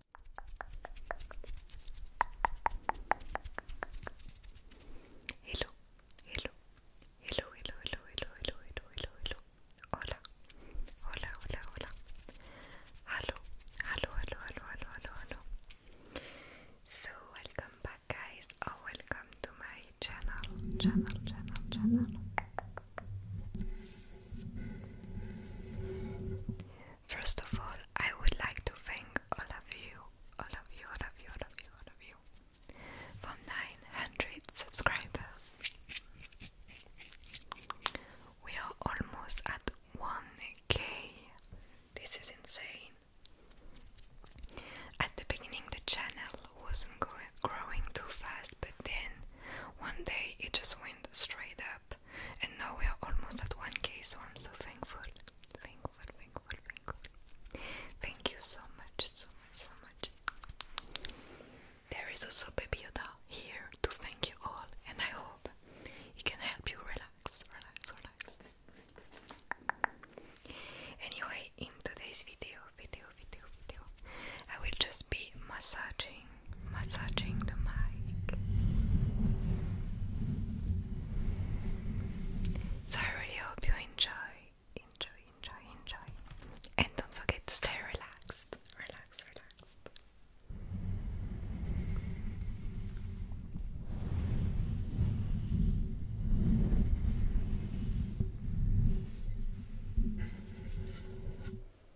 Hello, hello, hello, hello, hello, hello, hello, hello, hello, hello. Hola, hola, hola, hola. Hello, hello, hello, hello, hello, hello, hello. So welcome back, guys, or welcome to my channel, channel, channel, channel. First of all, I would like to thank all of you, all of you, all of you, all of you, all of you, for 900 subscribers. We are almost at 1k. This is insane. At the beginning, the channel wasn't growing too fast, but then one day it just went straight up. And now we are almost at 1k, so I'm so thankful. Thankful, thankful, thankful. Thank you so much, so much, so much. There is also Baby Yoda here to thank you all, and I hope he can help you relax, relax, relax. Anyway, in today's video, video, video, video, I will just be massaging, massaging the mic. So I really hope you enjoy, enjoy, enjoy, enjoy. And don't forget to stay relaxed, relaxed, relaxed.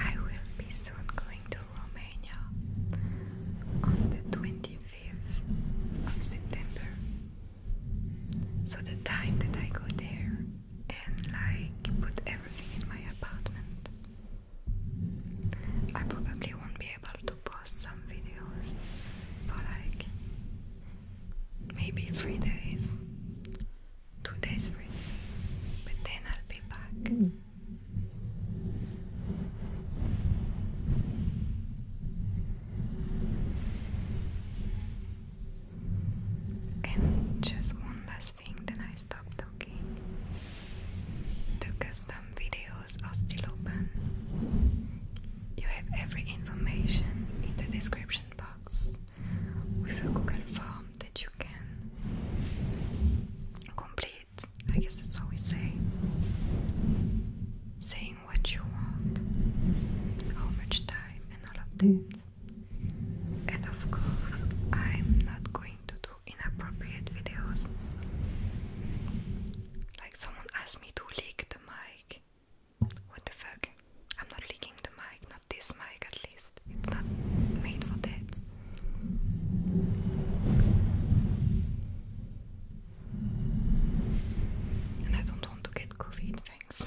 I will be soon going to Romania on the 25th of September. So the time that I go there and like put everything in my apartment. I probably won't be able to post some videos for like maybe three days, two days, three days, but then I'll be back. Mm. just one last thing, then I stop talking. The custom videos are still open. You have every information in the description box with a Google form that you can complete. I guess that's how we say. Saying what you want, how much time, and all of that. Mm. And of course, I'm not going to do inappropriate videos. Like someone asked me to lick the mic. What the fuck? I'm not licking the mic, not this mic at least. It's not made for that. And I don't want to get COVID, thanks.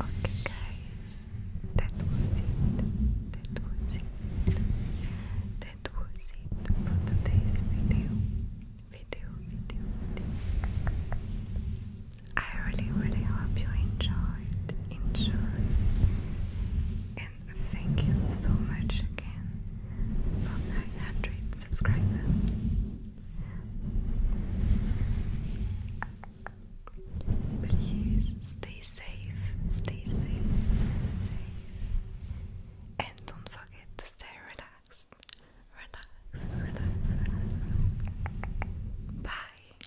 Okay, guys, that was it. That was it. That was it for today's video. Video, video, I really, really hope you enjoyed. Enjoy. And thank you so much again for 900 subscribers. Please stay safe, stay safe, safe. And don't forget to stay relaxed. Relax, relax, Bye.